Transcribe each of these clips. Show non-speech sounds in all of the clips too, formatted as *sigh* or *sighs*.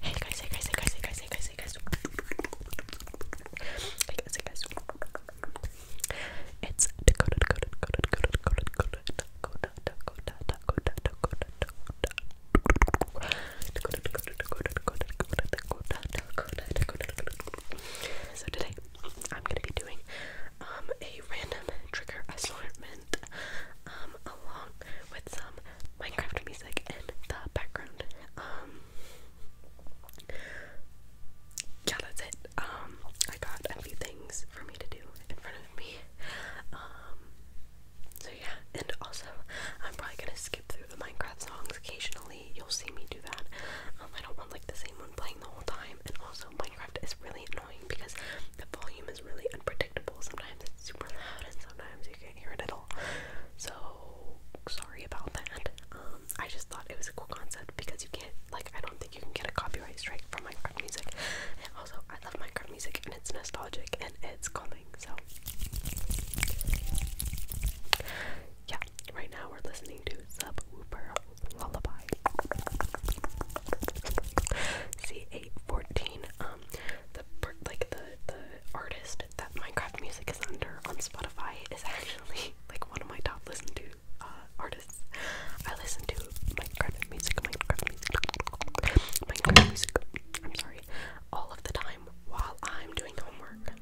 Hey guys, hey guys, hey guys, hey guys, hey guys, hey guys. Hey guys, hey guys. It's Dakota, Dakota, Dakota, Dakota, Dakota, Dakota, Dakota, Dakota, Dakota, Dakota, Dakota. Dakota, Dakota, Dakota, Dakota, Dakota, Dakota, Dakota, Dakota, Dakota. So today I'm gonna be doing um a random trigger assortment um along with some Minecraft music in the background. Um, yeah, that's it. Um, I got a few things for me to do in front of me. Um, so yeah, and also, I'm probably gonna skip through the Minecraft songs occasionally. You'll see me do that. Um, I don't want like the same one playing the whole time. And also, Minecraft is really annoying because the volume is really unpredictable. Sometimes it's super loud, and sometimes you can't hear it at so sorry about that. Um, I just thought it was a cool concept because you can't like I don't think you can get a copyright strike from my music. And also I love Minecraft music and it's nostalgic and it's calming. So yeah, right now we're listening to Subwoofer Lullaby. C814. Um, the like the the artist playlist that Minecraft music is under on Spotify is actually like one of my top listened to uh, artists. I listen to Minecraft music, Minecraft music, Minecraft music. I'm sorry, all of the time while I'm doing homework.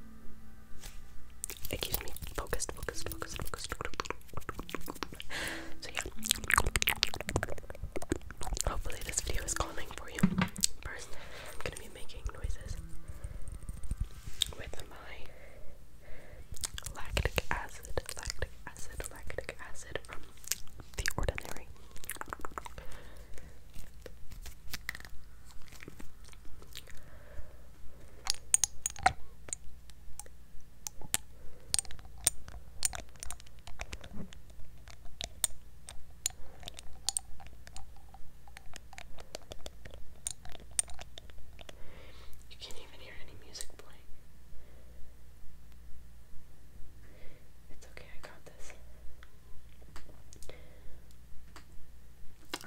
It keeps me focused, focused, focused, focused. So yeah. Hopefully, this video is calming for you. First, I'm gonna be making noises with my lactic acid, lactic acid, lactic acid from The Ordinary. You can't even hear any music playing. It's okay, I got this.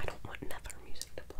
I don't want another music to play.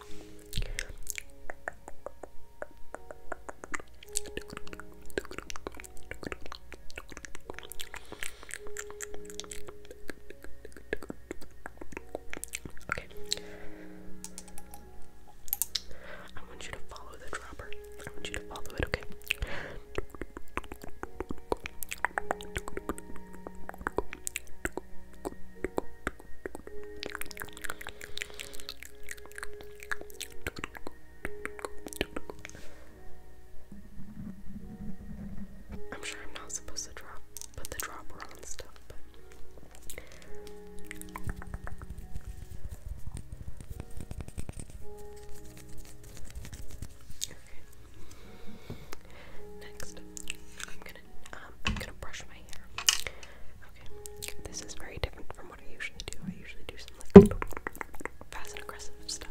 Okay. I want you to follow the dropper. I want you to follow it, okay? I'm sure I'm not supposed to drop but the dropper on and stuff, Next, I'm gonna um I'm gonna brush my hair. Okay, this is very different from what I usually do. I usually do some like fast and aggressive stuff.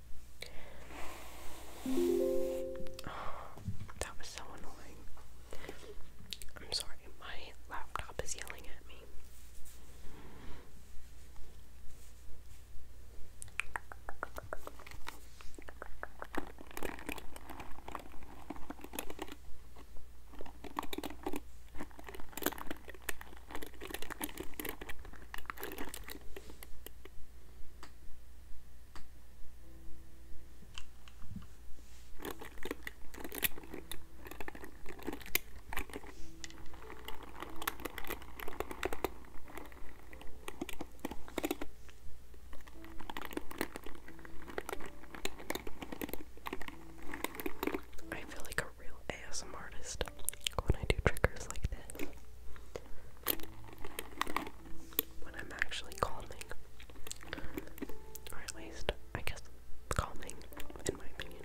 *sighs* that was so annoying. I'm sorry, my laptop is yelling at me. I feel like a real ASM artist when I do triggers like this when I'm actually calming. Or at least, I guess, calming, in my opinion.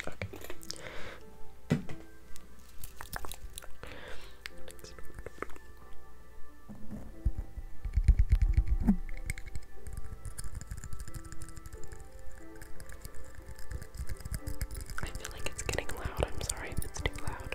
Okay. I feel like it's getting loud. I'm sorry if it's too loud.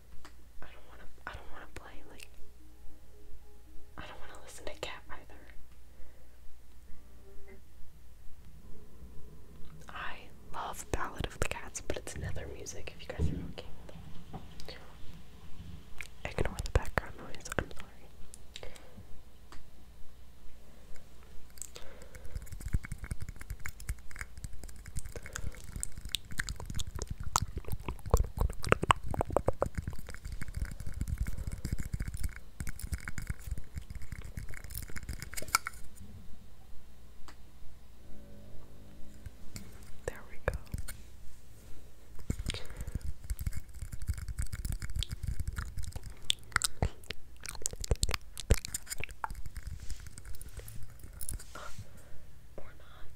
I don't wanna I don't wanna play like I don't wanna listen to cat either. I love Ballad of the Cats, but it's nether music if you guys are okay with it. Ignore the background noise, I'm sorry. There we go. or not.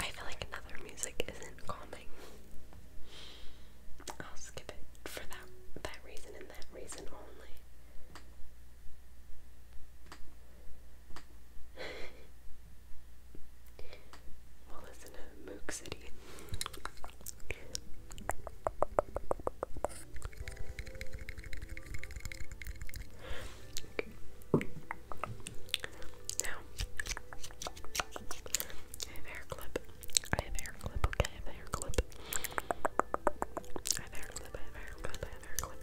I feel like another music isn't calming. I'll skip it for that that reason and that reason only. *laughs* we'll listen to Mook City. Okay. Now, I have hair clip. I have hair clip. Okay, I have hair clip. I have hair clip. I have hair clip. I have hair clip.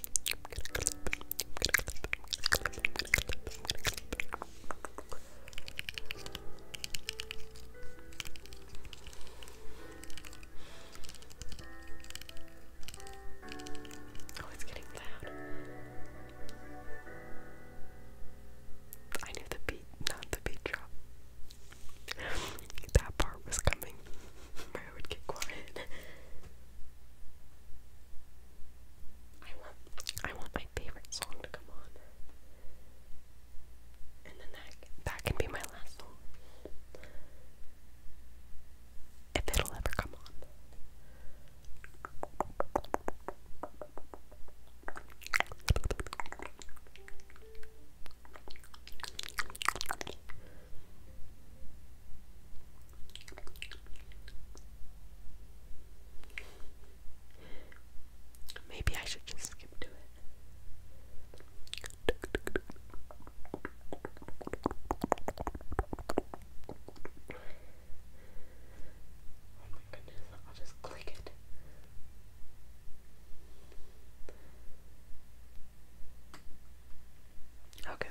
Oh, it's getting loud. I knew the beat, not the beat drop. that part was coming. Bro would get quiet. I want I want my favorite song to come on. And then that that can be my last song. If it'll ever come on. Maybe I should just skip to it. Oh my goodness, I'll just click it. Okay.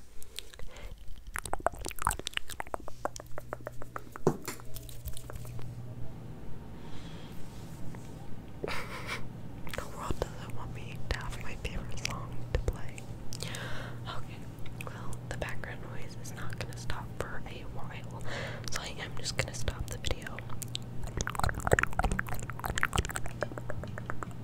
*laughs* the world doesn't want me to have my favorite song to play. Okay, well, the background noise is not gonna stop for a while, so I am just gonna stop the video.